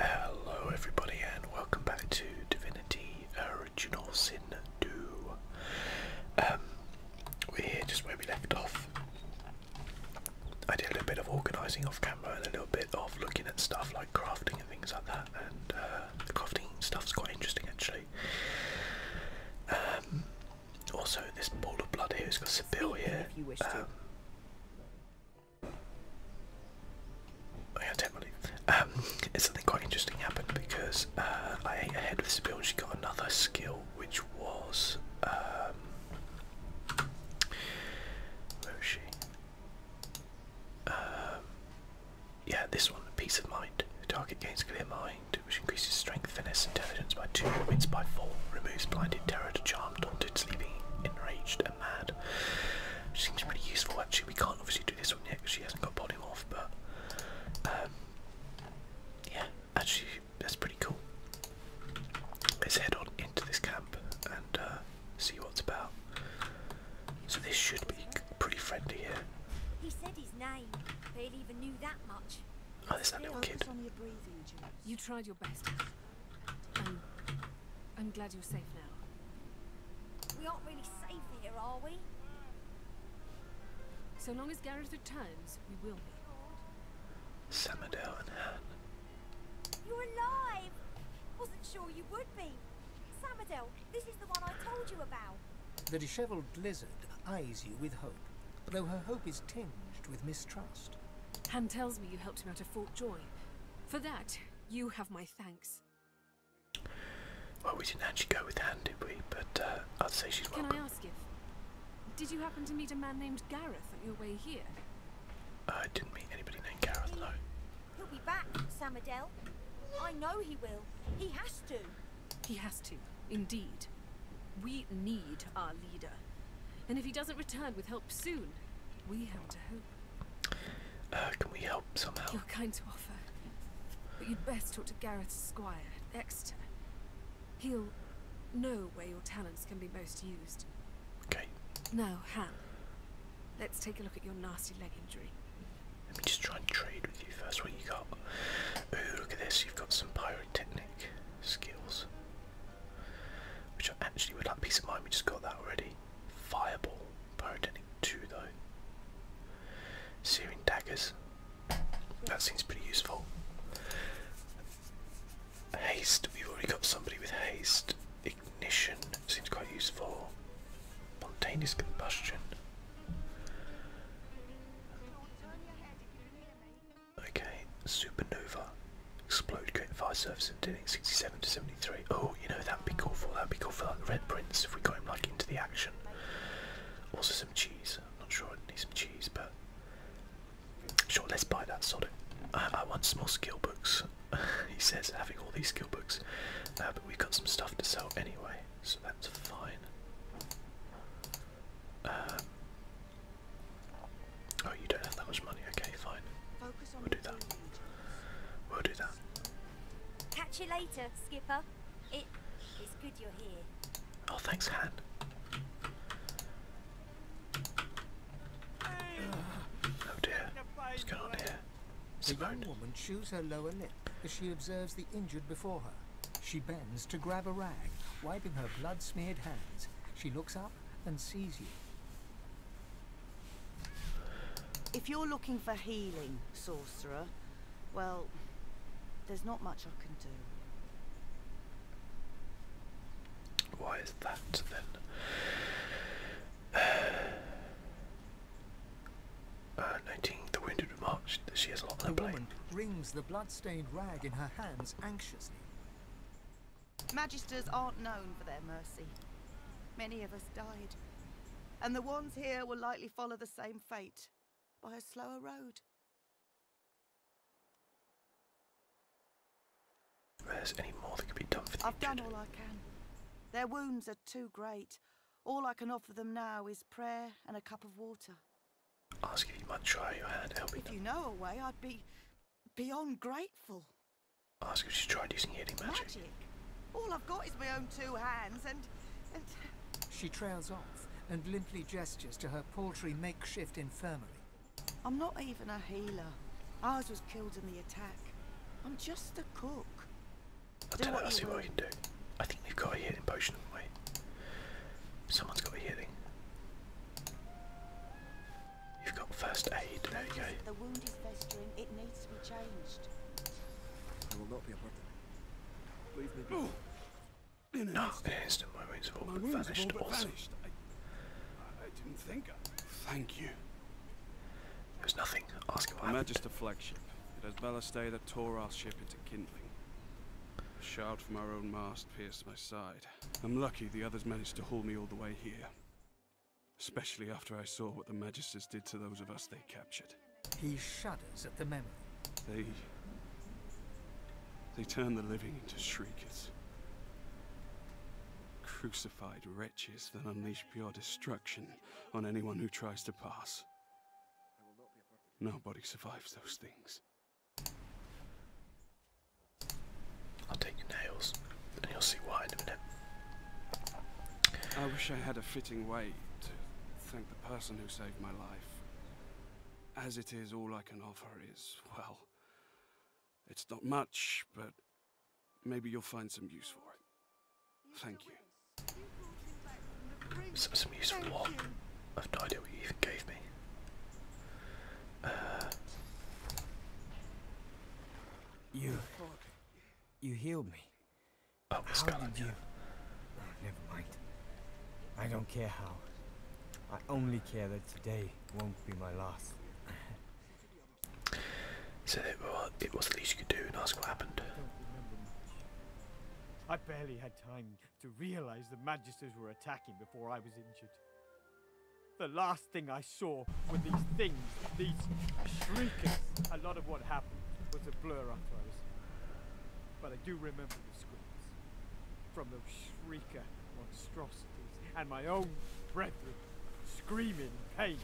Hello everybody and welcome back to Divinity Original Sin 2. Um, we're here just where we left off. I did a little bit of organising off camera and a little bit of looking at stuff like crafting and things like that and uh, the crafting stuff's quite interesting actually. Um, also this ball of blood here has got Seville here. to. Um, I had to Um, something quite interesting happened because uh, I ate ahead with Sibyl and she got another skill which was um, where she? Um, yeah, this one, peace of mind. target gains clear mind, which increases strength, finesse, intelligence by two, wins by four, removes blinded terror to charmed haunted, seems pretty useful actually. We can't obviously do this one yet because she hasn't got body polymorph, but um, yeah, actually that's pretty cool. Let's head on into this camp and uh, see what's about. So this should be pretty friendly here. Oh, there's that little kid. You tried I'm, glad you're safe now. We aren't really safe here, are we? So long as Gareth returns, we will be. Samodel and Han. You're alive! I Wasn't sure you would be. Samadell. this is the one I told you about. The dishevelled lizard eyes you with hope, though her hope is tinged with mistrust. Han tells me you helped him out of Fort Joy. For that, you have my thanks. Well, we didn't actually go with Han, did we? But uh, I'd say she's Can welcome. Can I ask if... Did you happen to meet a man named Gareth on your way here? I didn't meet anybody named Gareth, no. He'll be back, Samadell. I know he will. He has to. He has to, indeed. We need our leader. And if he doesn't return with help soon, we have to hope uh, can we help somehow? You're kind to offer, but you'd best talk to Gareth Squire, Exeter. He'll know where your talents can be most used. Okay. Now, Han, let's take a look at your nasty leg injury. Let me just try and trade with you first. What you got? Ooh, look at this. You've got some pyrotechnic skills. Which I actually would like peace of mind, we just got that already. Fireball, pyrotechnic 2 though. Searing daggers, that seems pretty useful. Haste, we've already got somebody with haste. Ignition seems quite useful. Spontaneous combustion. Okay, supernova. Explode fire surface and doing 67 to 73. Oh, you know, that'd be cool for that'd be cool for like the Red Prince if we got him like into the action. Also some cheese. I'm not sure I need some cheese, but sure, let's buy that sod it. I, want some more skill books. he says having all these skill books. Uh, but we've got some stuff to sell anyway, so that's fine. Um, oh, you don't have that much money. Okay, fine. We'll do that. We'll do that. Catch you later, Skipper. It is good you're here. Oh, thanks, Han. Oh dear. What's going on here? Simone. The woman chews her lower lip as she observes the injured before her. She bends to grab a rag, wiping her blood-smeared hands. She looks up and sees you. If you're looking for healing, sorcerer, well, there's not much I can do. Why is that then? Uh, the wounded remarked that she has a lot on The woman brings the blood-stained rag in her hands anxiously. Magisters aren't known for their mercy. Many of us died, and the ones here will likely follow the same fate by a slower road. There's any more that could be done for the I've done all I can. Their wounds are too great. All I can offer them now is prayer and a cup of water. Ask if you might try your hand helping If you know a way, I'd be beyond grateful. Ask if she's tried using healing magic. magic. All I've got is my own two hands and, and... She trails off and limply gestures to her paltry makeshift infirmary. I'm not even a healer. Ours was killed in the attack. I'm just a cook. I'll do tell what I'll see what I can do. I think we have got a healing potion. Wait. Someone's got a healing. You've got first aid. There you go. The wound is festering. It needs to be changed. I will not be aborted. Leave me. Oh. In no, instant my wounds have all my but vanished. All but I, I, didn't think. I... Thank you. There's nothing. Ask him what happened. flagship. It has ballast that tore our ship into kindling. A shard from our own mast pierced my side. I'm lucky the others managed to haul me all the way here. Especially after I saw what the Magisters did to those of us they captured. He shudders at the memory. They... They turn the living into shriekers. Crucified wretches that unleash pure destruction on anyone who tries to pass. Nobody survives those things. I'll take your nails, and you'll see why in a minute. I wish I had a fitting way to thank the person who saved my life. As it is, all I can offer is, well, it's not much, but maybe you'll find some use for it. Thank you. Some, some what? I've no idea what you even gave me. Uh... You. You healed me. Oh, how did you? Oh, never mind. I don't care how. I only care that today won't be my last. so it, it was the least you could do and ask what happened. I barely had time to realize the Magisters were attacking before I was injured. The last thing I saw were these things, these shriekers. A lot of what happened was a blur after I was But I do remember the screams from those shrieker monstrosities and my own brethren screaming in pain.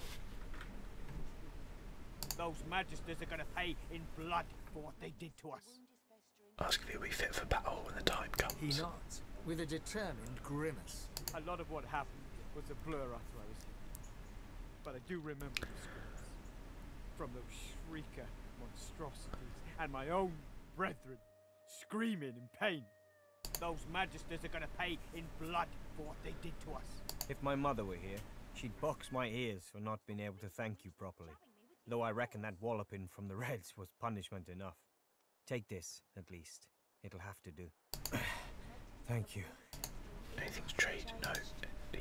Those magisters are going to pay in blood for what they did to us. Ask if he'll be fit for battle when the time comes. He nods, with a determined grimace. A lot of what happened was a blur after I was but I do remember the screams from those shrieker monstrosities and my own brethren screaming in pain. Those magisters are going to pay in blood for what they did to us. If my mother were here, she'd box my ears for not being able to thank you properly. Though I reckon that walloping from the Reds was punishment enough. Take this, at least. It'll have to do. Thank you. Anything's trade? No. The...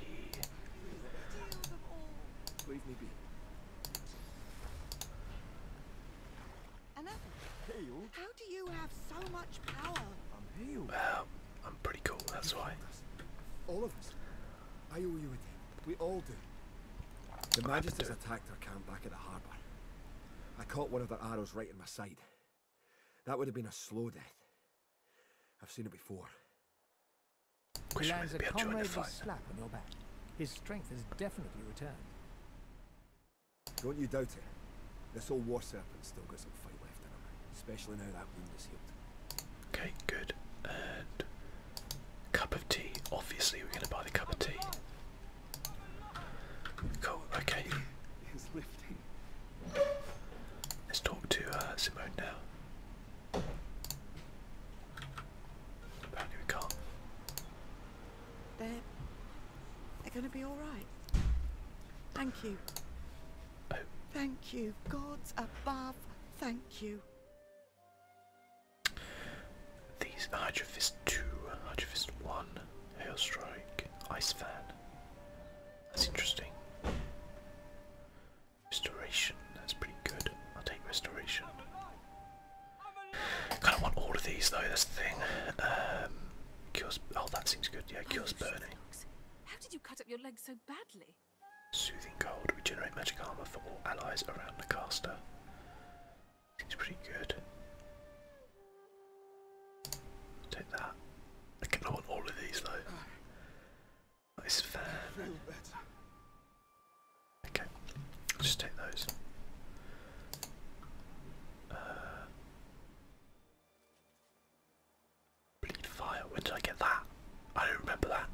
How do you have so much power? I'm healed. Well, I'm pretty cool, that's why. All of us. Are you a debt. We all do. The Magisters attacked our camp back at the harbour. I caught one of their arrows right in my side. That would have been a slow death. I've seen it before. He lands slap on your back. His strength has definitely returned. Don't you doubt it. This old war serpent still got some fight left in him, especially now that wound is healed. Okay, good. And cup of tea. Obviously, we're going to buy the cup of tea. Cool. Okay. Let's talk to uh, Simone now. Apparently we can't. They're, going to be all right. Thank you. Oh. Thank you. Gods above, thank you. These Hydro Fist 2, Hydro 1, Hail Strike, Ice Fan. That's interesting. Restoration, that's pretty good. I'll take restoration. I kind of want all of these though, This thing. Um, cures, oh that seems good, yeah, cures burning. How did you cut up your leg so badly? Soothing cold, regenerate magic armor for all allies around the caster. Seems pretty good. Take that. I kind want all of these though. Nice fan. Okay, just take those. Uh, bleed fire. When did I get that? I don't remember that.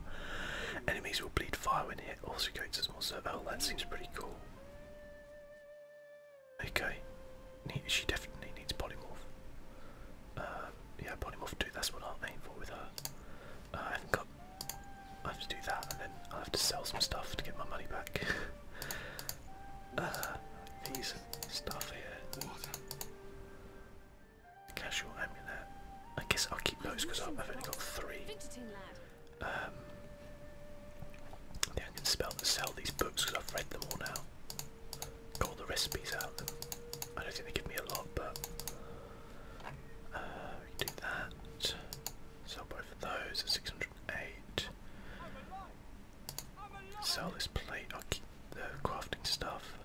Enemies will bleed fire when hit. Also creates a small circle. Oh, that seems pretty cool. Okay, she definitely needs polymorph. Uh, yeah, polymorph too. That's what I'm aiming for with her. Uh, I have got. I have to do that, and then I have to sell some stuff to get my money back. uh, these stuff here. Casual amulet. I guess I'll keep those because I've only got three. Um, yeah, I can sell these books because I've read them all now got the recipes out I don't think they give me a lot, but uh, do that. Sell both of those at 608. Sell this plate. i keep the crafting stuff.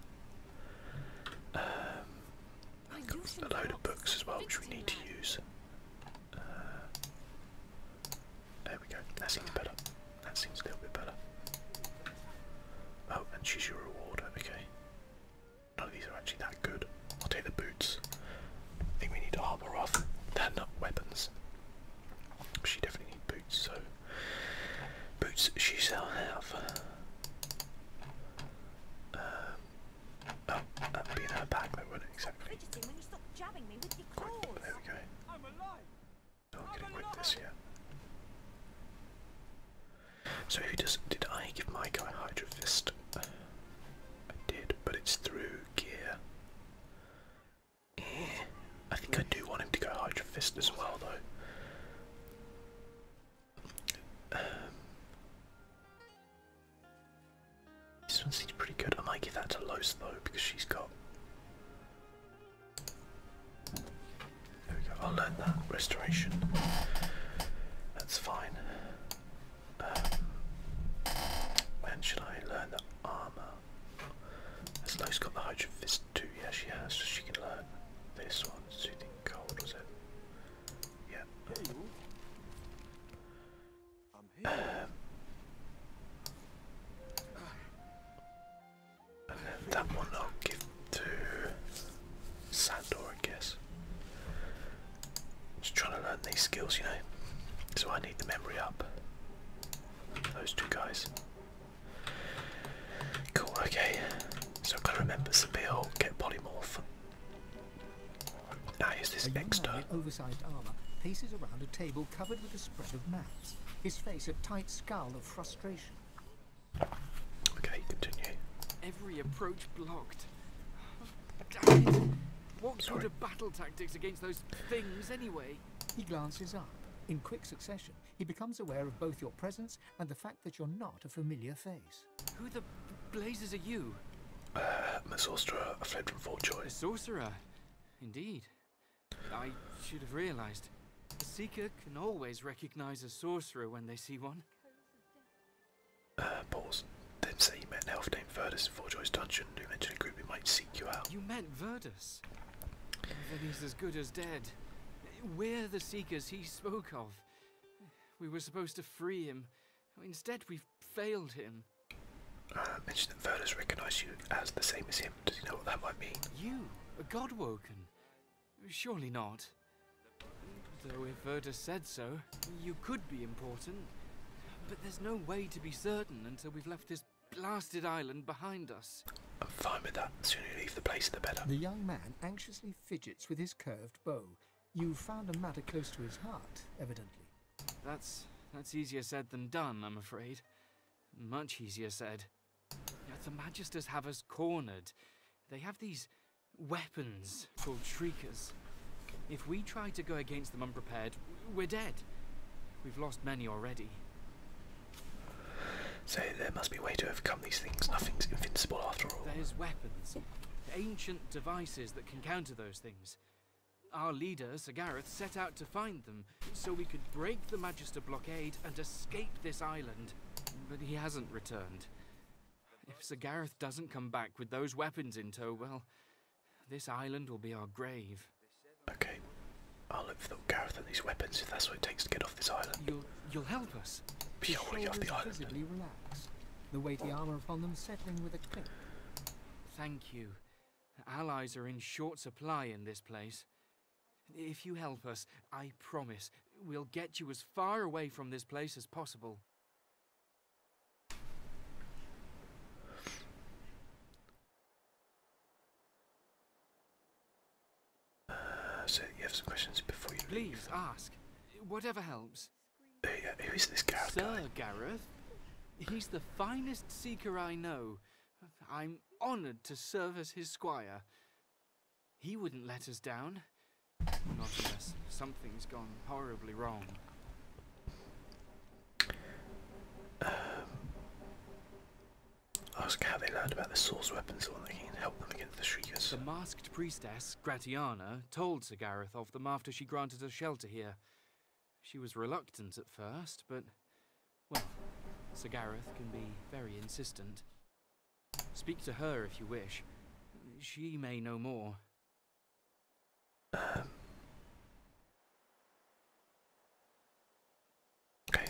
Um, a load of books as well, which we need to use. There we go. That seems better. That seems a little bit better. Oh, and choose your reward. Okay. None of these are actually that good. I'll take the boots. I think we need armor They're not weapons. She definitely needs boots, so boots She's out have. Um, oh, that be in her bag though, would it? Exactly. there we go. So who does? Did I give my guy Hydro Fist? I did, but it's through gear. Eh, I think I do want him to go Hydro Fist as well, though. Um, this one seems pretty good. I might give that to Los though, because she's got I'll learn that. Restoration. That's fine. Um, when should I learn the armour? Has has got the Hydro Fist too? Yeah, she has, she can learn this one. Soothing Cold, was it? Yeah. And then that one I'll give to Sandor, I guess. Just trying to learn these skills, you know. So I need the memory up. Those two guys. Cool, okay. So I've got to remember Sabil, get polymorph. Now here's this extra. Oversized armor paces around a table covered with a spread of maps. His face a tight scowl of frustration. Okay, continue. Every approach blocked. Oh, damn it! What sort of battle tactics against those things anyway? He glances up. In quick succession, he becomes aware of both your presence and the fact that you're not a familiar face. Who the blazes are you? Uh, I'm a sorcerer. I fled from Fort Joy. sorcerer? Indeed. I should have realized. A seeker can always recognize a sorcerer when they see one. Uh, they say you met an elf named Verdus in Forge's dungeon who mentioned a group who might seek you out. You met Verdus? Then he's as good as dead. We're the seekers he spoke of. We were supposed to free him. Instead, we've failed him. Uh, mentioned that Verdus recognized you as the same as him. Does he know what that might mean? You, godwoken. Surely not. Though if Verda said so, you could be important. But there's no way to be certain until we've left this blasted island behind us. I'm fine with that. The sooner you leave the place, the better. The young man anxiously fidgets with his curved bow. You found a matter close to his heart, evidently. That's that's easier said than done, I'm afraid. Much easier said the Magisters have us cornered. They have these weapons called Shriekers. If we try to go against them unprepared, we're dead. We've lost many already. So there must be a way to overcome these things. Nothing's invincible after all. There's weapons. Ancient devices that can counter those things. Our leader, Sir Gareth, set out to find them, so we could break the Magister blockade and escape this island. But he hasn't returned. If Sir Gareth doesn't come back with those weapons in tow, well, this island will be our grave. Okay. I'll look for the Gareth and these weapons if that's what it takes to get off this island. You'll, you'll help us. But yeah, I want to get off the island. Relaxed, the weighty armour upon them settling with a click. Thank you. Allies are in short supply in this place. If you help us, I promise we'll get you as far away from this place as possible. Uh, so you have some questions before you Please ask. Whatever helps. Uh, who is this Gareth Sir Gareth? He's the finest seeker I know. I'm honoured to serve as his squire. He wouldn't let us down. Not unless something's gone horribly wrong. Um, ask how they learned about the source weapons so that they can help them against the Shriekers. The masked priestess, Gratiana, told Sir Gareth of them after she granted us shelter here. She was reluctant at first, but well, Sir Gareth can be very insistent. Speak to her if you wish. She may know more. Okay.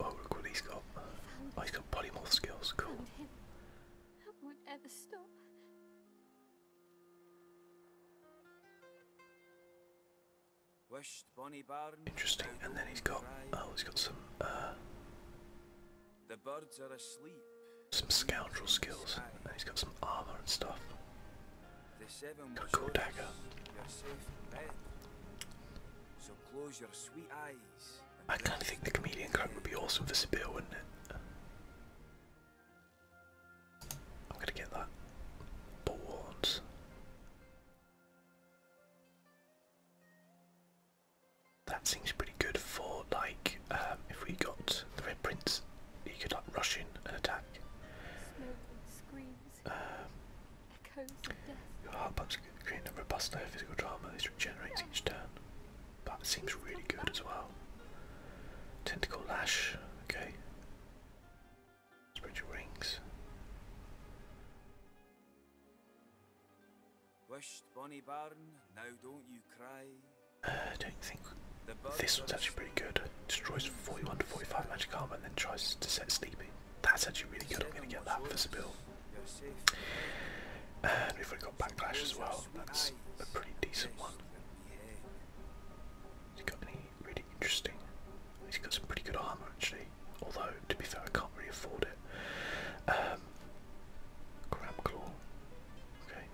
Oh, look what he's got. Oh, he's got polymorph skills. Cool. Interesting. And then he's got oh, he's got some uh, Some scoundrel skills. And he's got some armor and stuff. Got a cool dagger. So close your sweet eyes. I kind of think the comedian coat would be awesome for Sibyl, wouldn't it? I'm gonna get that. Boards. That seems pretty good for like um, if we got the Red Prince, he could like rush in and attack. Um, your heart pumps create a robust layer of physical drama. This regenerates each turn. But seems really good as well. Tentacle lash, okay. Spiritual rings. Wished Bonnie Barn, now don't you cry. Uh, think this one's actually pretty good. Destroys 41 to 45 magic armor and then tries to set sleeping. That's actually really good. I'm going to get that for the Sibyl. And we've got Backlash as well. That's a pretty decent one. Has got any really interesting He's got some pretty good armour actually, although to be fair I can't really afford it. Um, claw. Okay.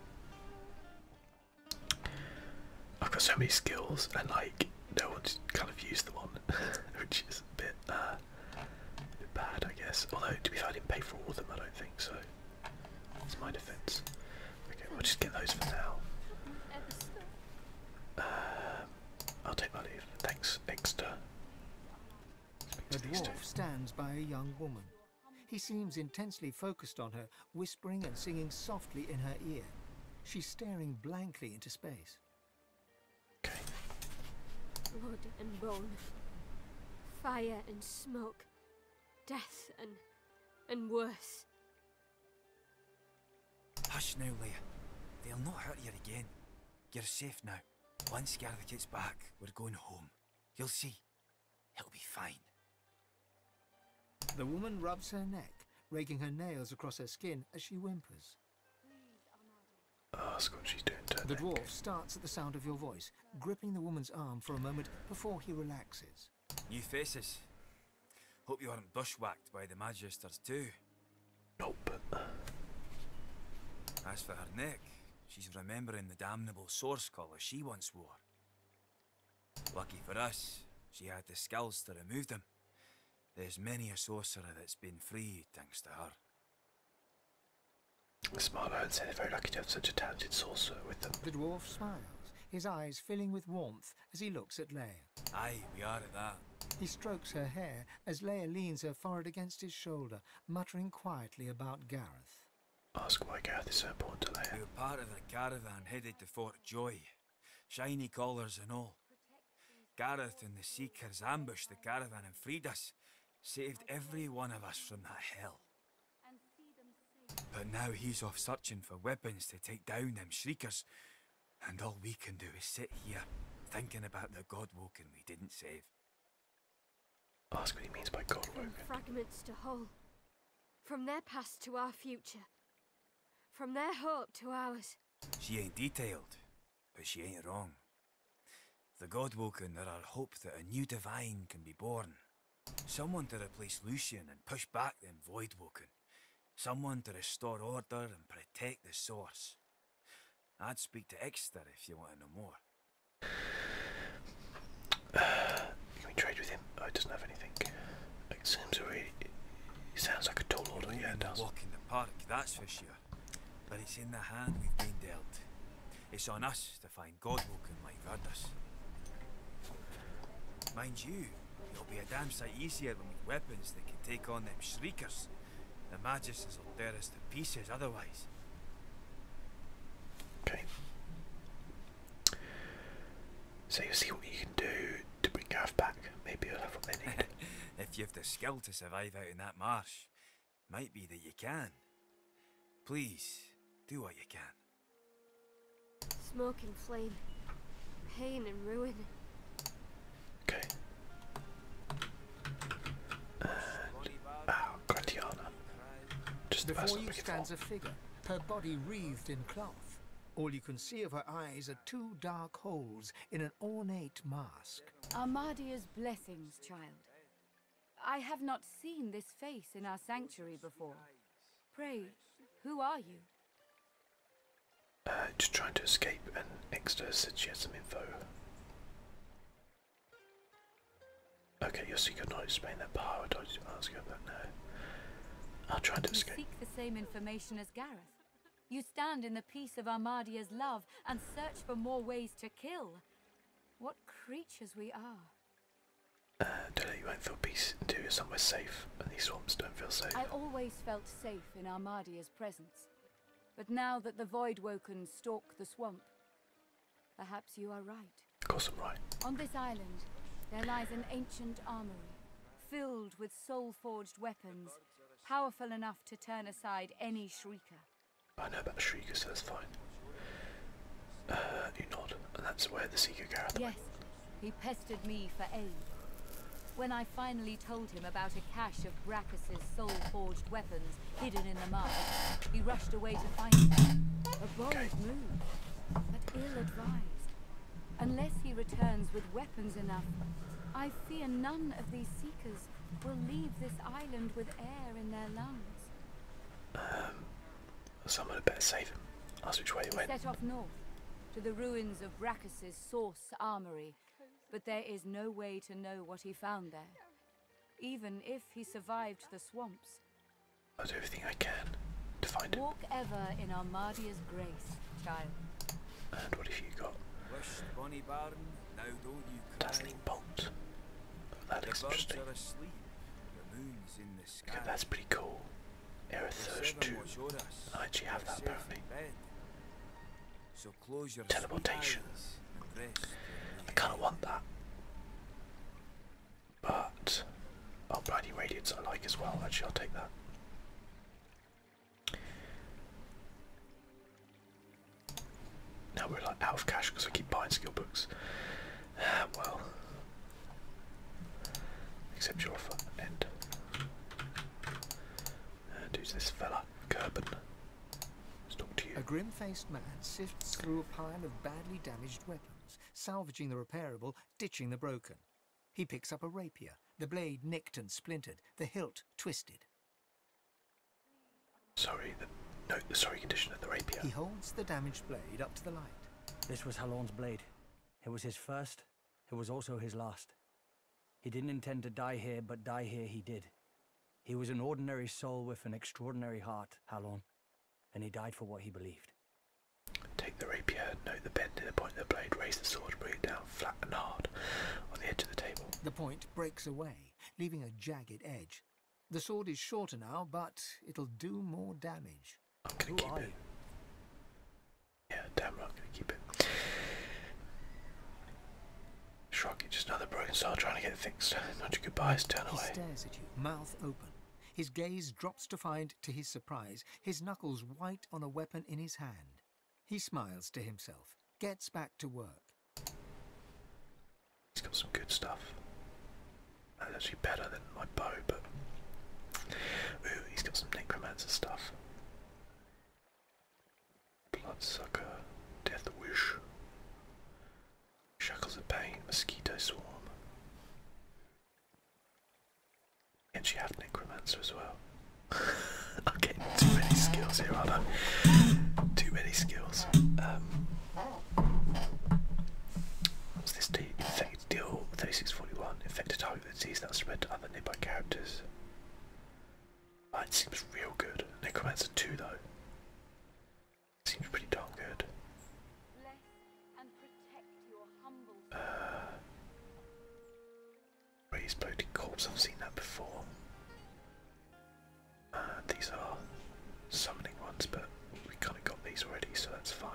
I've got so many skills and like no one's kind of used the one, which is a bit, uh, bit bad I guess. Although to be fair I didn't pay for all of them I don't think so. That's my defence. Okay, we'll just get those for now. Uh, I'll take my leave. Thanks, Exter. A dwarf stands by a young woman. He seems intensely focused on her, whispering and singing softly in her ear. She's staring blankly into space. Blood and bone. Fire and smoke. Death and... and worse. Hush now, Leah. They'll not hurt you again. You're safe now. Once Garth gets back, we're going home. You'll see. He'll be fine. The woman rubs her neck, raking her nails across her skin as she whimpers. Ask what she's doing The dwarf starts at the sound of your voice, gripping the woman's arm for a moment before he relaxes. New faces. Hope you aren't bushwhacked by the Magisters too. Nope. As for her neck, she's remembering the damnable source collar she once wore. Lucky for us, she had the skills to remove them. There's many a sorcerer that's been freed thanks to her. The and said says, very lucky to have such a talented sorcerer with them. The dwarf smiles, his eyes filling with warmth as he looks at Leia. Ay, we are at that. He strokes her hair, as Leia leans her forehead against his shoulder, muttering quietly about Gareth. Ask why Gareth is so important to Leia. We were part of the caravan headed to Fort Joy, shiny collars and all. Gareth and the Seekers ambushed the caravan and freed us, saved every one of us from that hell. But now he's off searching for weapons to take down them Shriekers, and all we can do is sit here, thinking about the god Walking we didn't save. Ask what he means by God Fragments to whole. From their past to our future. From their hope to ours. She ain't detailed, but she ain't wrong. The Godwoken are our hope that a new divine can be born. Someone to replace Lucian and push back them Voidwoken. Someone to restore order and protect the source. I'd speak to Exeter if you want to know more. can we trade with him? Oh, it doesn't have anything. It seems already. sounds like a toll order. Yeah, it does. Walk in the park, that's for sure. But it's in the hand we've been dealt. It's on us to find God like Verdus. Mind you, it'll be a damn sight easier than with weapons that can take on them shriekers. The Magisters will dare us pieces otherwise. Okay. So you see what you can do to bring Gav back. Maybe you'll have if you've the skill to survive out in that marsh, might be that you can. Please, do what you can. Smoke and flame. Pain and ruin. Okay. Uh, ah, oh, Just the person you stands a figure, her body wreathed in cloth. All you can see of her eyes are two dark holes in an ornate mask. Armadia's blessings, child. I have not seen this face in our sanctuary before. Pray, who are you? Uh, just trying to escape, and Exter said she had some info. Okay, your secret knowledge Spain that power. I told you ask you about now. I'll try to you escape. seek the same information as Gareth. You stand in the peace of Armadia's love and search for more ways to kill. What creatures we are. Uh, you won't feel peace until you're somewhere safe, and these swamps don't feel safe. I always felt safe in Armadia's presence. But now that the void woken stalk the swamp, perhaps you are right. Of course right. On this island, there lies an ancient armory, filled with soul-forged weapons, powerful enough to turn aside any Shrieker. I know about Shrieker, so that's fine. Uh, you nod, and that's where the Seeker Gareth Yes, he pestered me for aid. When I finally told him about a cache of Bracchus's soul-forged weapons hidden in the mine. He rushed away to find them. A bold move, but ill-advised. Unless he returns with weapons enough, I fear none of these seekers will leave this island with air in their lungs. Um, someone had better save him. Ask which way he, he went. Set off north, to the ruins of Bracchus's source armory, but there is no way to know what he found there even if he survived the swamps. I'll do everything I can to find him. Walk ever in Armadia's grace, child. And what have you got? Wish bonny barn, now do you cry. Dazzling bolt. That interesting. that's pretty cool. Aerithurge 2. I actually have that apparently teleportation. I kind of want that. But, oh, Brady Radiance I like as well. Actually, I'll take that. Now we're like out of cash because I keep buying skill books. Ah, well, accept your offer. End. And who's this fella? Kerbin. Let's talk to you. A grim-faced man sifts through a pile of badly damaged weapons, salvaging the repairable, ditching the broken. He picks up a rapier, the blade nicked and splintered, the hilt twisted. Sorry, the no, the sorry condition of the rapier. He holds the damaged blade up to the light. This was Halon's blade. It was his first. It was also his last. He didn't intend to die here, but die here he did. He was an ordinary soul with an extraordinary heart, Halon, and he died for what he believed. Take the rapier, note the bend in the point of the blade, raise the sword, bring it down flat and hard on the edge of the table. The point breaks away, leaving a jagged edge. The sword is shorter now, but it'll do more damage. I'm gonna Who keep it. You? Yeah, damn right, I'm gonna keep it. Shrug, just another broken star trying to get fixed. Nudge your goodbyes, turn away. stares at you, mouth open. His gaze drops to find, to his surprise, his knuckles white on a weapon in his hand. He smiles to himself, gets back to work. He's got some good stuff. That's actually better than my bow, but... Ooh, he's got some necromancer stuff. Bloodsucker, Death Wish, Shackles of Pain, Mosquito Swarm. And she have Necromancer as well. I'm getting too many skills here, aren't I? Too many skills. Um, what's this do? deal 3641. Infected target with disease that spread to other nearby characters it seems real good. Necromancer 2 though. Seems pretty darn good. Uh, raise bloated corpse, I've seen that before. Uh, these are summoning ones, but we kind of got these already, so that's fine.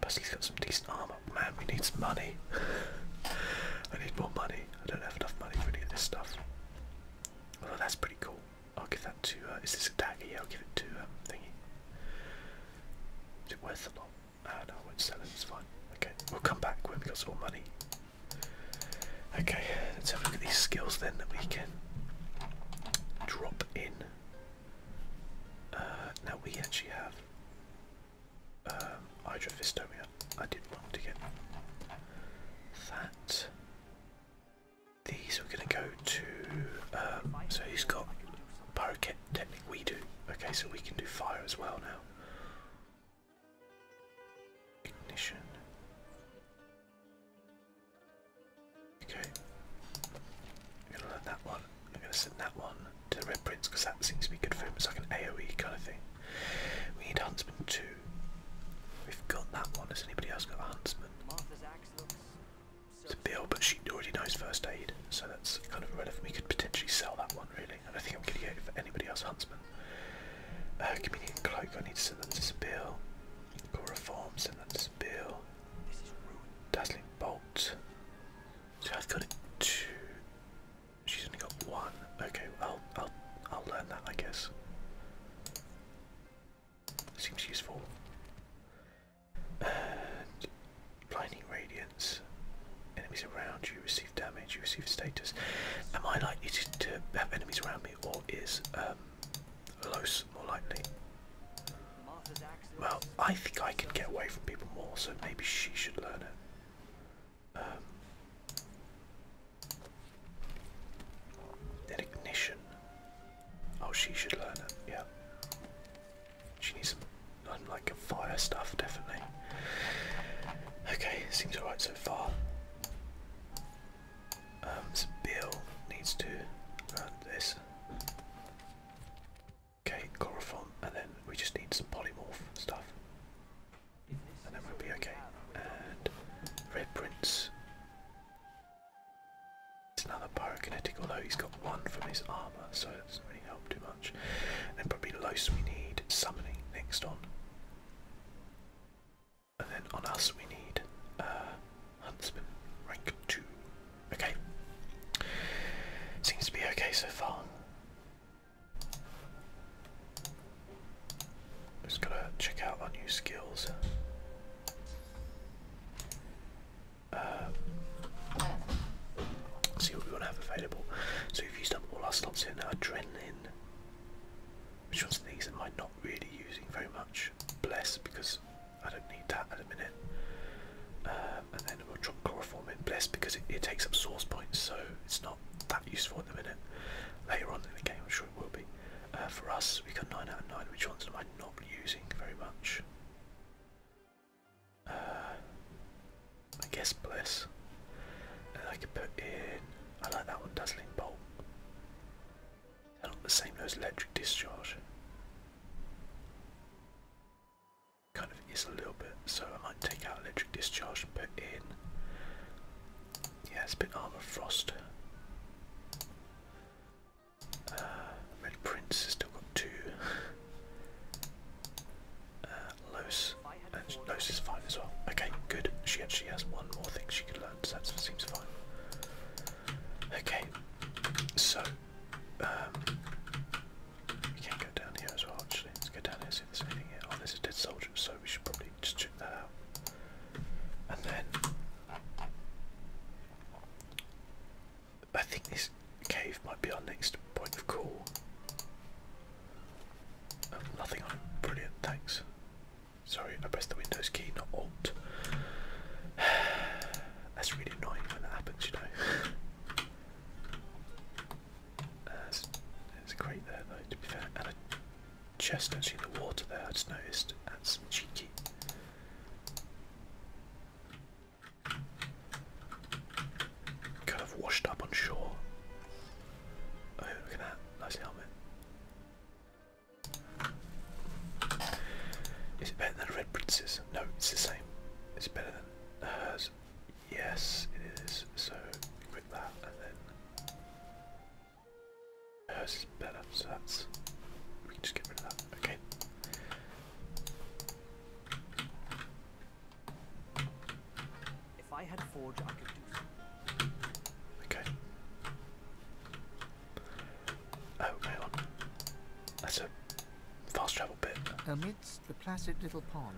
Plus has got some decent armour. Man, we need some money. I need more money. I don't have enough money for any of this stuff. Although that's pretty cool. I'll give that to. Uh, is this a dagger? Yeah, I'll give it to um, thingy. Is it worth a lot? Ah, no, I won't sell it. It's fine. Okay, we'll come back when we have got some more money. Okay, let's have a look at these skills then that we can drop in. Uh, now we actually have um, Hydrophistomia. I did want to get that. These we're going to go to. Um, so he's got Pyroket Technique, we do. Okay, so we can do fire as well now. Ignition. Okay. I'm going to learn that one. I'm going to send that one to the Red Prince because that seems to be good for him. It's like an AoE kind of thing. We need Huntsman 2. We've got that one. Has anybody else got a Huntsman? It's a bill, but she already knows first aid, so that's kind of relevant. We could potentially sell that one, really. I think I'm getting it for anybody else, Huntsman. Uh, Cloak, I need to send that to Sabil. Core Reform, send that to Sabil. Dazzling Bolt. So I've got it two. She's only got one. Okay, I'll, I'll, I'll learn that, I guess. Seems useful. blinding radiance. Enemies around you receive damage. You receive status. Am I likely to, have enemies around me, or is um, more likely? Well, I think I can get away from people more, so maybe she should learn it. Um, then ignition. Oh, she should learn it, yeah. She needs some, like, a fire stuff, definitely. Okay, seems alright so far. Um, so Bill needs to learn this. Okay, chloroform, and then we just need some polymorph stuff and then we'll be okay. And Red Prince. It's another pyrokinetic, although he's got one from his armour, so it doesn't really help too much. And probably Los we need summoning next on. And then on us we need uh, Huntsman rank 2. Okay. Seems to be okay so far. Just gotta check out our new skills. Uh, see what we want to have available. So we've used up all our slots here now. Adrenaline, which ones of these am might not really using very much? Bless, because I don't need that at the minute. Uh, and then we'll drop chloroform in bless because it, takes up source points, so it's not that useful in the minute. Later on in the game, I'm sure it will be. Uh, for us, we got 9 out of 9. Which ones am I not using very much? Uh, I guess Bliss. I could put in. I like that one, Dazzling Bolt. not the same as Electric Discharge. Kind of is a little bit, so I might take out Electric Discharge and put in yeah, it's been Armor Frost. Uh, Red Prince has still got two. uh, and Los is fine as well. Okay, good. She actually has one more thing she could learn, so that seems fine. Okay, so um, we can go down here as well. Actually, let's go down here. See if there's anything here. Oh, there's a dead soldier, so we should probably just check that out. And then I think this cave might be our next point of call. Oh, nothing on it. Brilliant, thanks. Sorry, I pressed the Windows key, not Alt. That's really annoying when that happens, you know. It's great there, though, to be fair chest actually the water there, I just noticed. That's cheeky. Kind of washed up on shore. Oh, look at that. Nice helmet. Is it better than Red Princess? No, it's the same. It's better than hers. Yes, it is. So, equip that and then Hers better, so that's we can just get rid of that. Okay. Okay. Oh, hang on. That's a fast travel bit. Amidst the placid little pond,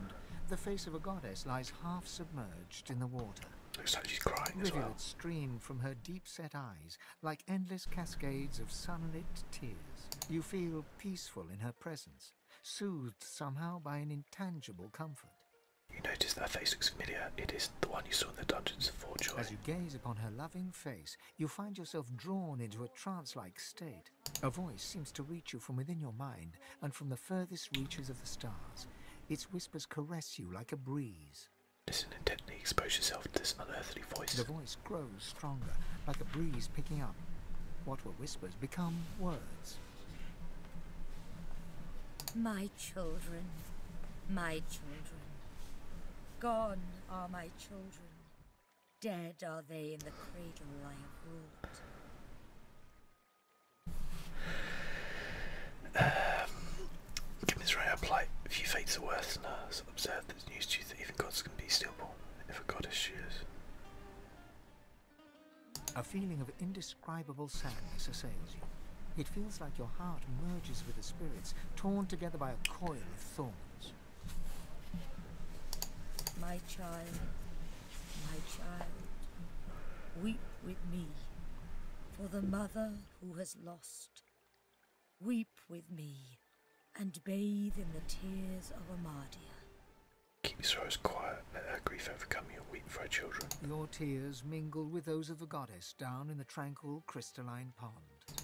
the face of a goddess lies half submerged in the water. Looks like she's crying as well. stream from her deep set eyes like endless cascades of sunlit tears. You feel peaceful in her presence, soothed somehow by an intangible comfort. You notice that her face looks familiar. It is isn't the one you saw in the dungeons of Forjoy. As you gaze upon her loving face, you find yourself drawn into a trance-like state. A voice seems to reach you from within your mind and from the furthest reaches of the stars. Its whispers caress you like a breeze. Listen intently, expose yourself to this unearthly voice. The voice grows stronger, like a breeze picking up. What were whispers become words. My children, my children. Gone are my children. Dead are they in the cradle I have wrought. Um, plight. Uh, if you fate worse than us, that even gods can be stillborn, if a goddess is. A feeling of indescribable sadness assails you. It feels like your heart merges with the spirits, torn together by a coil of thorns. My child, my child, weep with me for the mother who has lost Weep with me and bathe in the tears of Amadia. Keep your sorrows quiet, let our grief overcome you, weep for our children. Your tears mingle with those of the goddess down in the tranquil crystalline pond.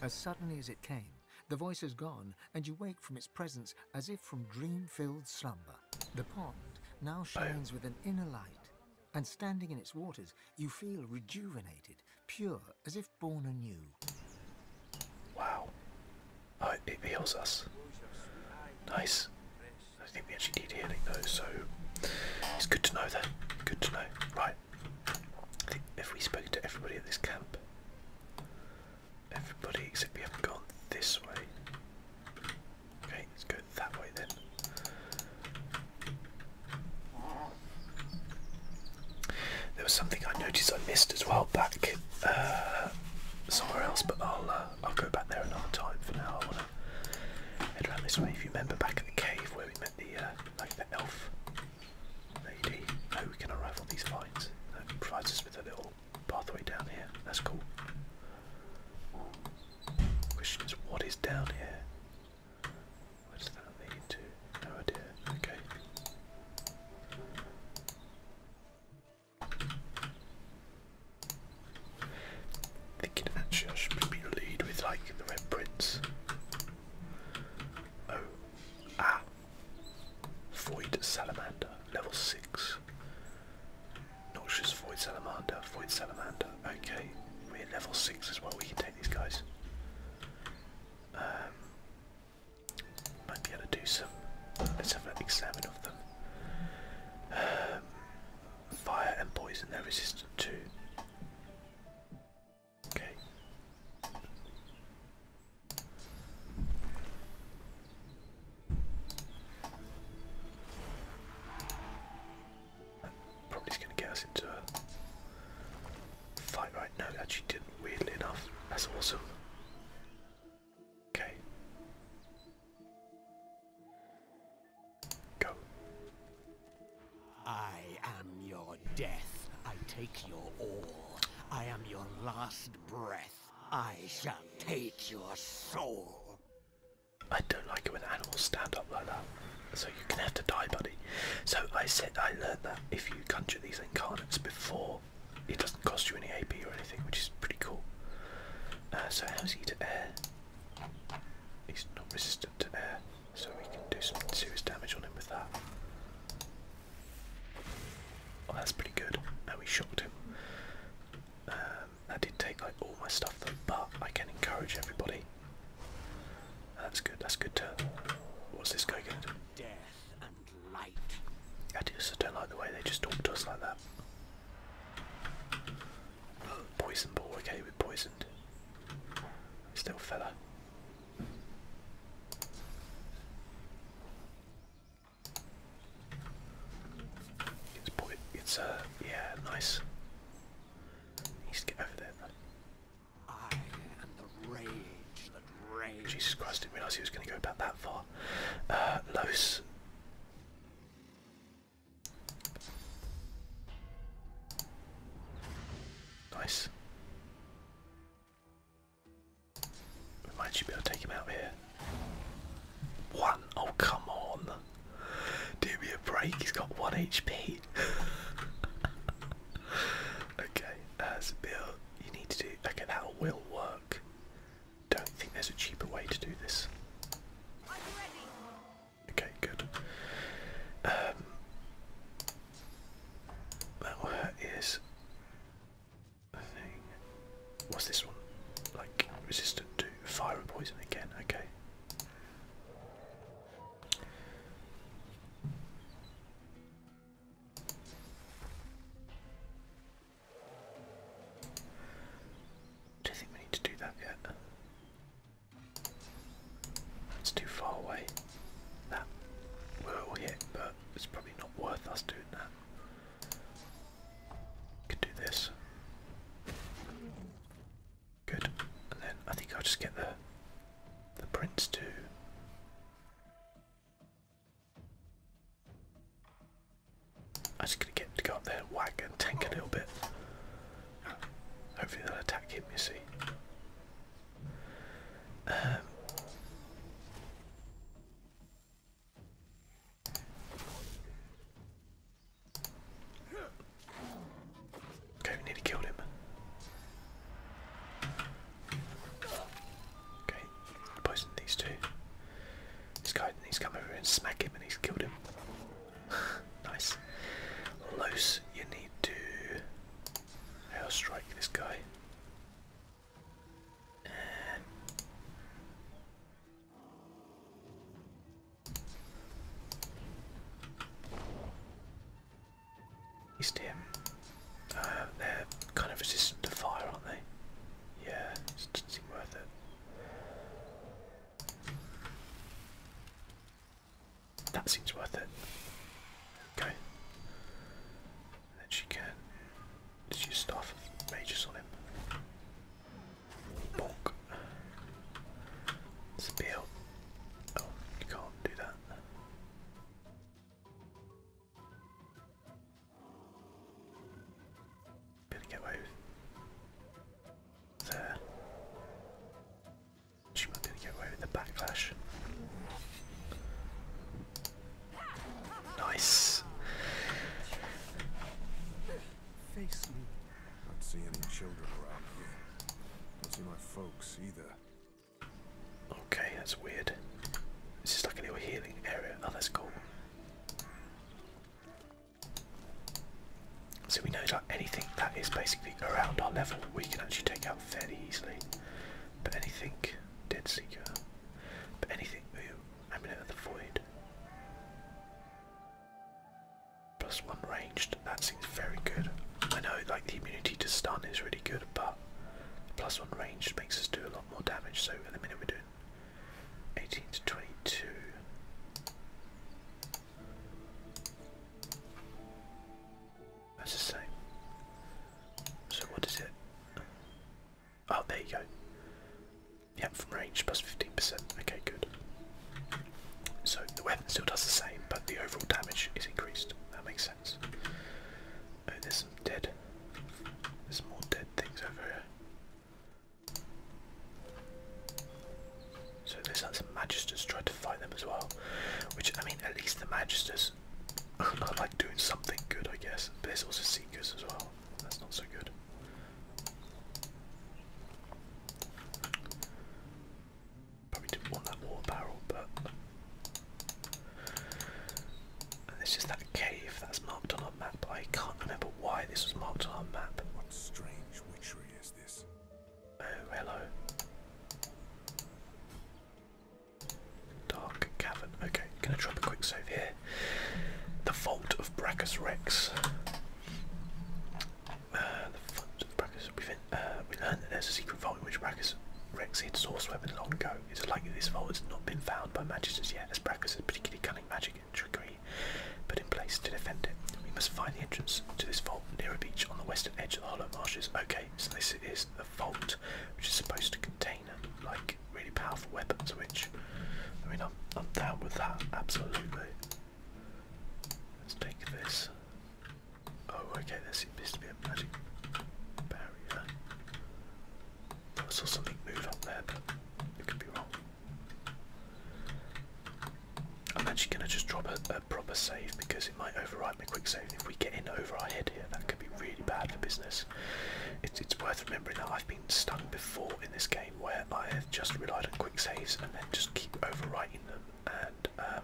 As suddenly as it came, the voice is gone, and you wake from its presence as if from dream-filled slumber. The pond now shines with an inner light, and standing in its waters, you feel rejuvenated pure as if born anew. Wow. Oh, it heals us. Nice. I think we actually need healing though, so it's good to know that. Good to know. Right. if we spoke to everybody at this camp, everybody except we have gone this way. Okay, let's go that way then. There was something I noticed I missed as well back uh, somewhere else, but I'll uh, I'll go back there another time. For now, I want to head around this way. If you remember back at the cave where we met the uh, the elf lady, no, oh, we can arrive on these vines. That provides us with a little pathway down here. That's cool. Question is, what is down here? What does that lead No idea. Okay. Thinking actually I should be lead with like the red prints. Oh. Ah. Void Salamander, level 6. Noxious Void Salamander, Void Salamander. Okay, we're level 6 as well, we can these guys. Um, might be able to do some. Let's have an examine of them. Um, fire and poison, they're resistant to. Okay. Probably is going to get us into a fight right now. Actually, didn't weirdly enough. That's awesome. Okay. Go. I am your death. I take your all. I am your last breath. I shall take your soul. I don't like it when animals stand up like that so you can have to die, buddy. So I said I learned that if you conjure these incarnates before, it doesn't cost you any AP or anything, which is pretty cool. Uh, so how's he to air? He's not resistant to air, so we can do some serious damage on him with that. Well, oh, that's pretty good, and we shocked him. Um, that did take like all my stuff but I can encourage everybody that's good. That's good. To, uh, what's this guy going to do? Death and light. I just don't like the way they just talk to us like that. Poison ball. Okay, we're poisoned. Still fella. It's, it's uh, yeah, nice. needs to get over there. Though. I am the rage that rage. Jesus Christ, didn't realise he was going to go about that far. Uh, Nice. might actually be able to take him out here. One. Oh, come on. Do me a break. He's got one HP. okay, uh, so Bill, you need to do. Okay, that will work. Don't think there's a cheaper way to do this. Okay, good. Um, that one is a thing. What's this one? Like resistant to fire and poison again. Okay. Do you think we need to do that yet? That's too far away. That will hit, but it's probably not worth us doing that. Could do this. Good. And then I think I'll just get the the prints too. I'm just gonna get to go up there and whack and tank a little bit. Hopefully they'll attack him, you see. Um, Okay, we nearly killed him. Okay, poison these two. This guy needs to come over and smack him and he's killed him. nice. Loose. you need to i strike this guy. East him. Uh, they're kind of resistant to fire, aren't they? Yeah, it doesn't seem worth it. That seems worth it. Okay. then she can just use staff of mages on Spear. Oh, you can't do that. Gonna get away with there. She might get away with the backlash. Nice. Face me. Not see any children around here. I Don't see my folks either. Okay, that's weird. This is like a little healing area. Oh, that's cool. So we know that anything that is basically around our level, we can actually take out fairly easily. But anything, Dead Seeker. But anything, ooh, Amulet of the Void. Plus one ranged. That's seems very good. I know like the immunity to stun is really good, but plus one range makes us do a lot more damage. So at the minute we're doing 18 to 22. That's the same. So what is it? Oh, there you go. Yep, from range plus 15%. Okay, good. So the weapon still does the same, but the overall damage is increased. That makes Oh, there's some dead. There's more dead things over here. So there's some magisters trying to fight them as well. Which, I mean, at least the magisters are like doing something good, I guess. But there's also seekers as well. That's not so good. Probably didn't want that water barrel, but and this that cave that's marked on our map. I can't remember why this was marked on our map. What strange witchery is this? Oh, hello. Dark cavern. Okay, gonna drop a quick save here. The Vault of Brachus uh, we learned that there's a secret vault in which Brackus Rex hid source weapon long ago. It is likely this vault has not been found by magisters yet, as Brackus has particularly cunning magic and trickery put in place to defend it. We must find the entrance to this vault near a beach on the western edge of the Hollow Marshes. Okay, so this is the vault, which is supposed to contain um, like really powerful weapons, which I mean I'm down with that absolutely. Let's take this. Oh, okay, there seems to be a magic barrier. Oh, I saw something move up there, but it could be wrong. I'm actually going to just drop a, proper save because it might overwrite my quick save. if we get in over our head here, that could be really bad for business. It's, it's worth remembering that I've been stung before in this game where I have just relied on quick saves and then just keep overwriting them and um,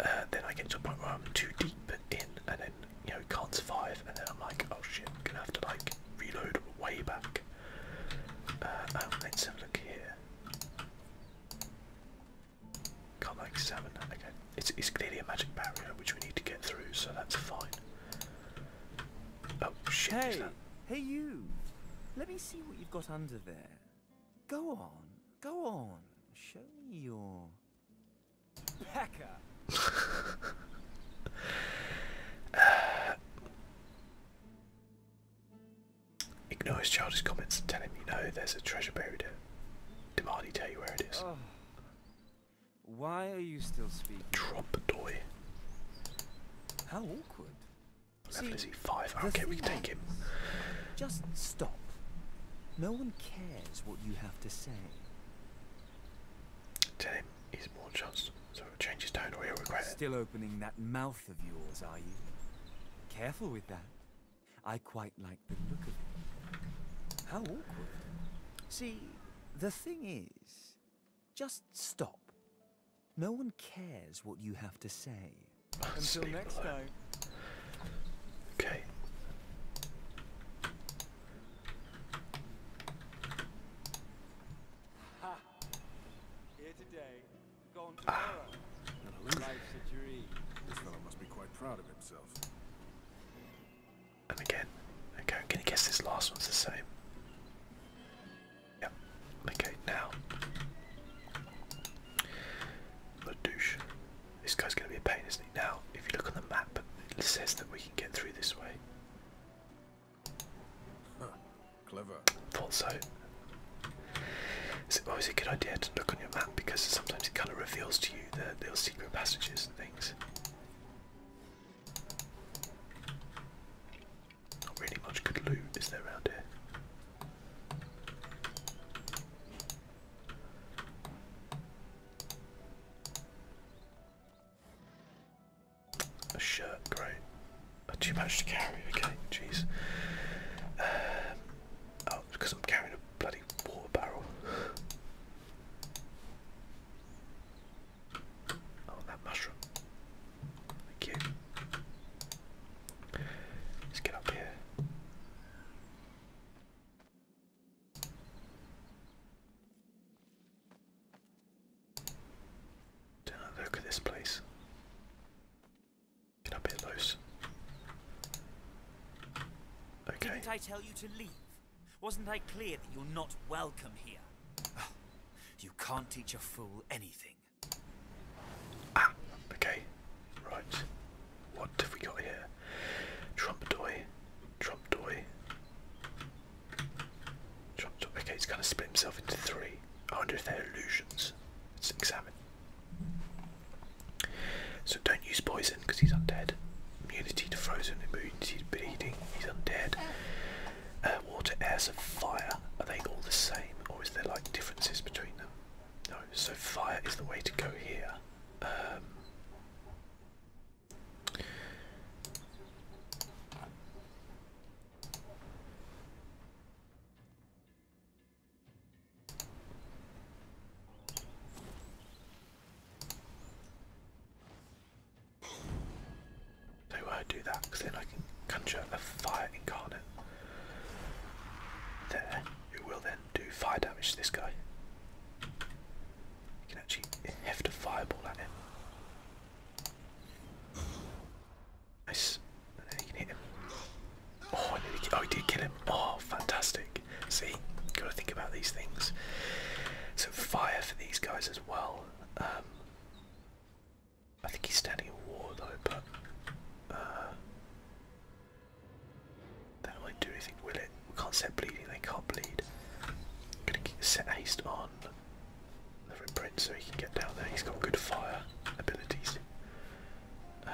uh, then I get to a point where I'm too deep in and then, you know, can't survive and then I'm like, oh shit, I'm gonna have to like reload way back. Uh, um, let's have a look here. can like seven, okay. It's, it's clearly a magic barrier which we need to get through, so that's fine. Oh shit, Hey you! Let me see what you've got under there. Go on, go on. Show me your packer. ignore his childish comments and tell him you know there's a treasure buried here. Do Marty tell you where it is. Oh. Why are you still speaking? Trump toy. How awkward. Five. Okay, we can take him. Just stop. No one cares what you have to say. Tell him he's more chance so it changes tone or he'll regret it. Still opening that mouth of yours, are you? Careful with that. I quite like the look of it. How awkward. See, the thing is, just stop. No one cares what you have to say. Oh, Until next time. Okay. Ha. Here today, gone ah. tomorrow. Ah. Life's a dream. This fellow must be quite proud of himself. And again, okay, I'm guess this last one's the same. Yep. Okay, now the douche. This guy's going to be a pain, isn't he? Now, if you look on the map, it says that we can get through this way. clever. Thought so. It's always a good idea to look on your map because sometimes it kind of reveals to you the little secret passages and things. Not really much good loot is there around here. A shirt, great. Oh, too much to carry, okay, jeez. Uh, oh, because I'm carrying a bloody water barrel. Oh, that mushroom. Thank you. Let's get up here look at this place. Get up here, Los. Okay. Didn't I tell you to leave? Wasn't I clear that you're not welcome here? You can't teach a fool anything. Ah, okay. Right. What have we got here? Trump doy. Trump Okay, he's gonna split himself into three. I wonder if they're illusions. Let's examine. So don't use poison because he's undead. Immunity to frozen, immunity to bleeding, he's undead. Uh, water, air, fire. Are they all the same or is there like differences between them? No, so fire is the way to go here. Um, will I do that because then I can conjure a fire incarnate there, who will then do fire damage to this guy. You can actually heft a fireball at him. Nice. And then you can hit him. Oh, I nearly, oh, he did kill him. Oh, fantastic. See, got to think about these things. So fire for these guys as well. Um, I think he's standing in war though, but uh, that won't do anything, will it? We can't set bleeding, they can't bleed. gonna set haste on the Red so he can get down there. He's got good fire abilities. Uh,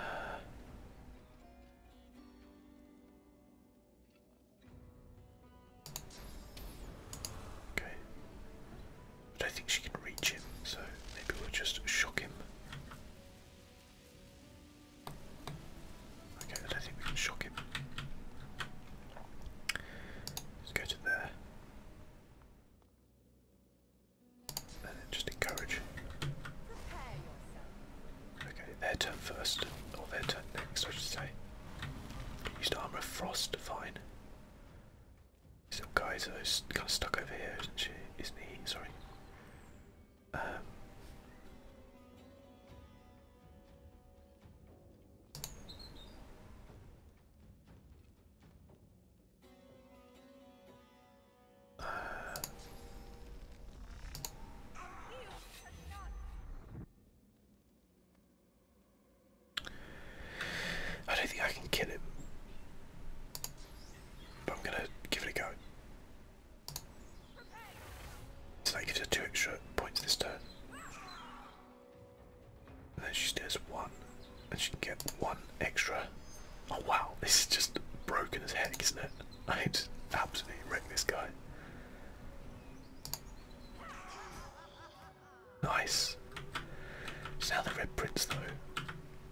okay. I don't think she can reach him, so maybe we'll just shock him. Okay, I don't think we can shock him. Let's go to there. And then just encourage. Okay, their turn first, or their turn next, I should say. Used Armour of Frost, fine. This little guy's uh, kind of stuck over here, isn't she? Isn't he? Sorry. I don't think I can kill him, but I'm gonna give it a go. So that gives her two extra points this turn. And then she does one, and she can get one extra. Oh wow, this is just broken as heck, isn't it? I just absolutely wrecked this guy. Nice. So now the Red Prince though,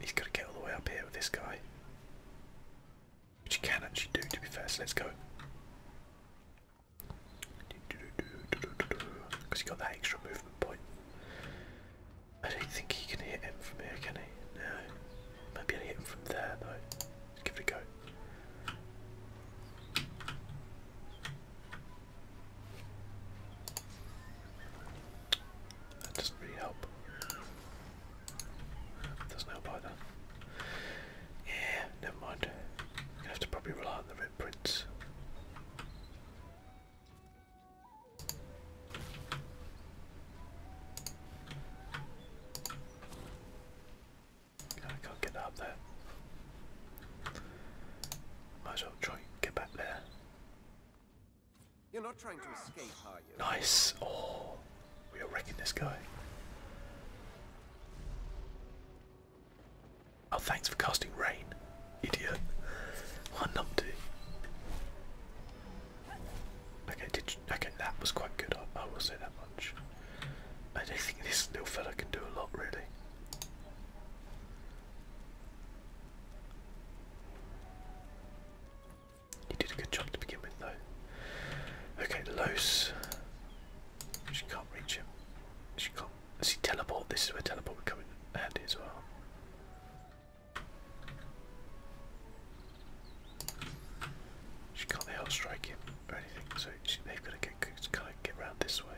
he's got to get all the way up here with this guy. Which you can actually do, to be fair, so let's go. Because he got that extra movement point. I don't think he can hit him from here, can he? No. Maybe I'll hit him from there, though. give it a go. That doesn't really help. Doesn't help Yeah, never mind. going have to probably rely on the red can't get up there. Might as well try get back there. You're not trying to escape, are Nice. Oh, we are wrecking this guy. Oh, thanks for casting rain, idiot. What a Okay, did you, okay, that was quite good. I, will say that much. I don't think this little fella can do a lot, really. You did a good job to begin with, though. Okay, Los. She can't reach him. She can't. Is See, teleport. This is where teleport would come in handy as well. She can't help strike him or anything, so she, they've got to get kind of get around this way.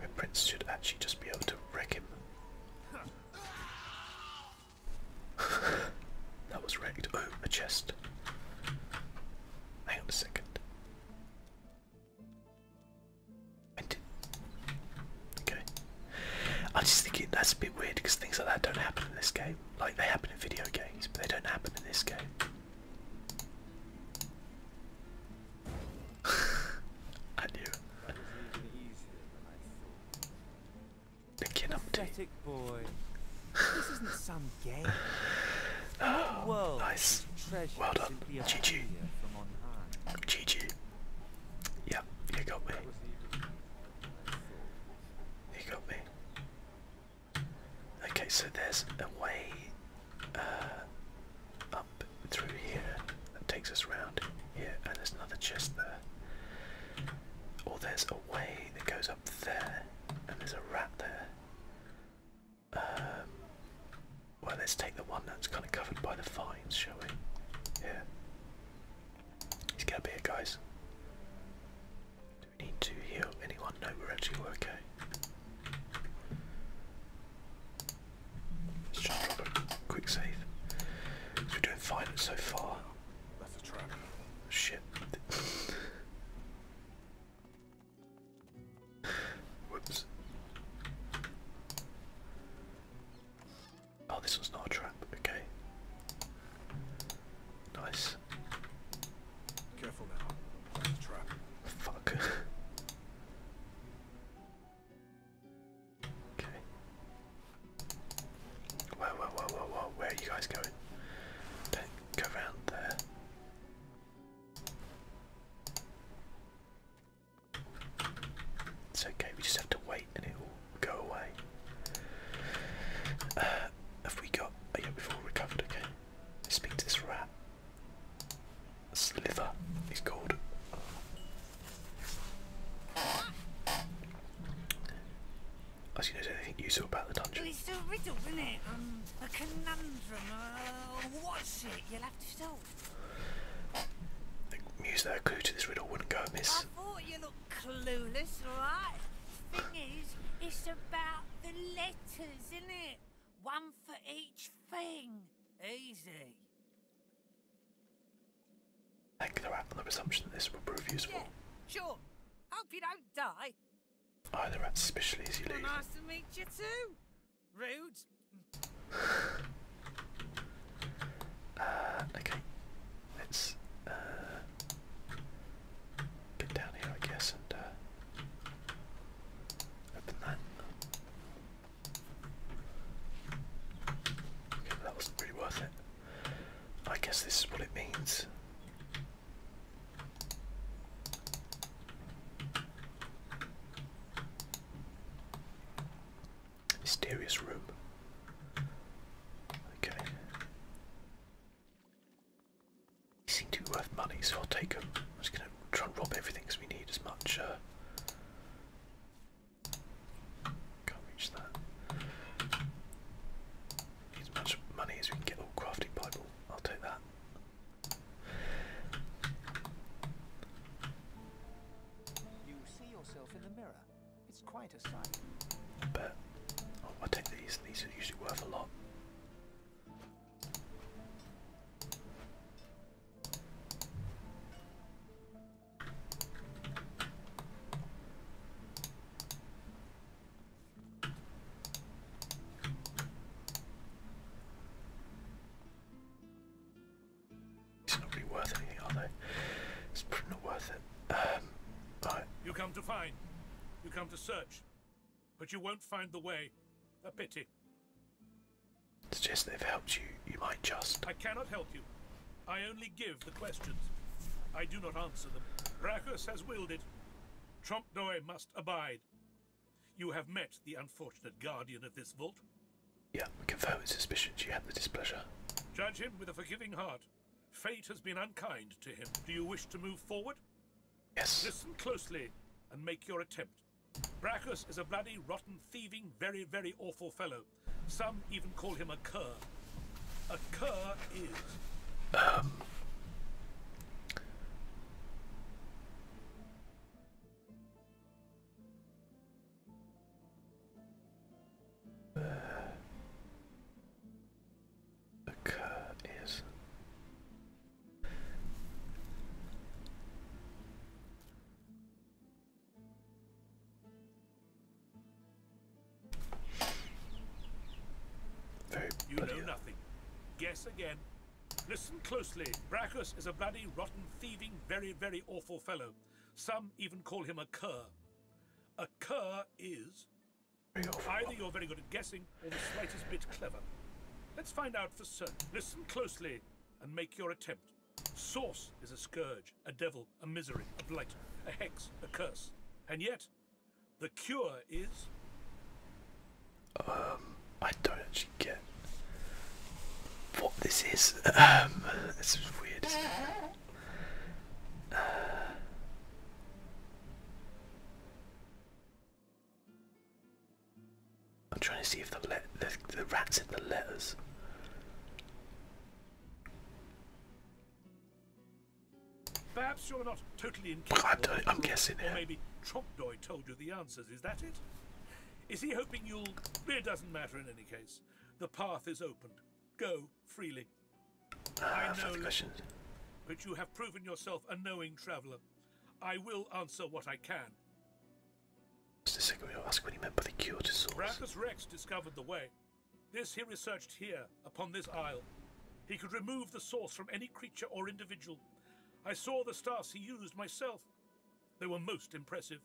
Red Prince should actually just be able to wreck him. that was wrecked. Oh, a chest. Hang on a second. I did. Okay. I'm just thinking that's a bit weird because things like that don't happen in this game. Like they happen in video games, but they don't happen in this game. I knew. Picking up boy. this isn't some game. Oh, nice. Well done. GG. GG. Yeah, you got me. You got me. Okay, so there's a way uh, up through here that takes us round here, and there's another chest there. Or there's a way that goes up there, and there's a rat there. Um, well, let's take the one that's kind of covered by the vines, shall we? Yeah. Let's get up here, guys. Do we need to heal anyone? No, we're actually okay. Let's try and drop a quick save. we're doing fine so far. Shit. Whoops. Oh, this one's not a trap. Okay. Nice. Careful now. Trap. Fuck. okay. Whoa, whoa, whoa, whoa, whoa! Where are you guys going? Don't go around there. It's okay. We just have to wait, and it will go away. Uh, have we got? Oh yeah, we recovered. Okay. speak to this rat. Sliver, he's called. As you know, there's anything useful about the dungeon. It's a riddle, isn't it? Um, a conundrum. Uh, what's it? You'll have to solve. The muse that clue to this riddle wouldn't go amiss. I thought you looked clueless, right? Thing is, it's about the letters, isn't it? One for each thing. Easy. I could have on the presumption that this will prove useful. sure. Hope you don't die. Oh, the rat's easy well, Nice to meet you too. Rude. Uh, okay. Let's uh, get down here, I guess, and uh, Open that. Okay, that wasn't worth it. I guess this is what it means. Mysterious room. Okay. They seem to be worth money, so I'll take them. I'm just going to try and rob everything because we need as much. Uh, can't reach that. as much money as we can get. all oh, crafting Bible. I'll take that. You see yourself in the mirror. It's quite a sight. But oh, I take these. These are usually worth a lot. It's not really worth anything, are they? It's pretty not worth it. Um, right. You come to find. You come to search. But you won't find the way. A pity. Suggest they've helped you. You might just. I cannot help you. I only give the questions. I do not answer them. Brachus has willed it. Trompdoi must abide. You have met the unfortunate guardian of this vault. Yeah, we can confirm his suspicions. You had the displeasure. Judge him with a forgiving heart. Fate has been unkind to him. Do you wish to move forward? Yes. Listen closely and make your attempt. Brachus is a bloody, rotten, thieving, very, very awful fellow. Some even call him a cur. A cur is... Um... a cur is you know nothing. Guess again. Listen closely. Brachus is a bloody, rotten, thieving, very, very awful fellow. Some even call him a cur. A cur is either you're very good at guessing or the slightest bit clever. Let's find out for certain. Listen closely and make your attempt. Source is a scourge, a devil, a misery, a blight, a hex, a curse. And yet, the cure is. Um, I don't actually get what this is. Um, this is weird. I'm trying to see if the, the, rat's in the letters. Perhaps you're not totally incapable. I'm guessing Or maybe Tromdoy told you the answers. Is that it? Is he hoping you'll? It doesn't matter in any case. The path is opened. Go freely. Ah, I know, questions. but you have proven yourself a knowing traveller. I will answer what I can. Just a second, we ask when he meant by the cure to source. Bracchus Rex discovered the way. This he researched here, upon this isle. He could remove the source from any creature or individual. I saw the stars he used myself. They were most impressive.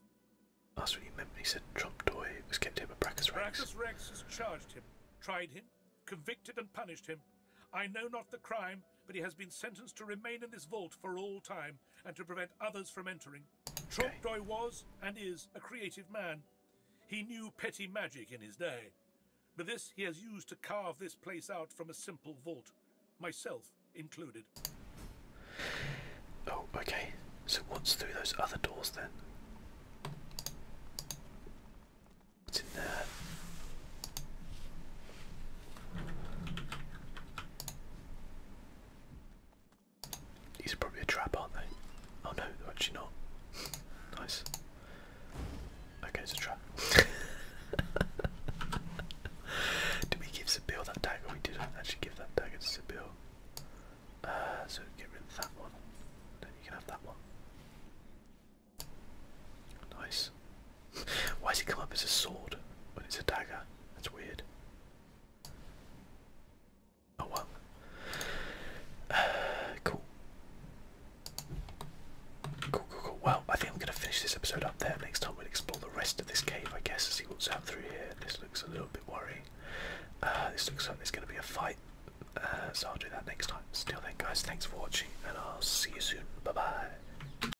That's what he meant he said Trump Toy was kept him by Bracchus Rex. Bracchus Rex has charged him, tried him, convicted and punished him. I know not the crime, but he has been sentenced to remain in this vault for all time and to prevent others from entering. Trompedoy was, and is, a creative man. He knew petty magic in his day, but this he has used to carve this place out from a simple vault, myself included. Oh, okay. So what's through those other doors then? What's in there? These are probably a trap, aren't they? Oh no, they're actually not. nice. Okay, it's a trap. did we give Sibyl that dagger? We did actually give that dagger to Sibyl. Uh, so get rid of that one. Then you can have that one. Nice. Why does it come up as a sword when it's a dagger? That's weird. Oh well. cool. Cool, cool, Well, I think I'm going to finish this episode up there. Next time we'll explore the rest of this cave, I guess, and see what's out through here. This looks a little bit worrying. Uh, this looks like there's going to be a fight, uh, so I'll do that next time. Still then, guys, thanks for watching, and I'll see you soon. Bye-bye.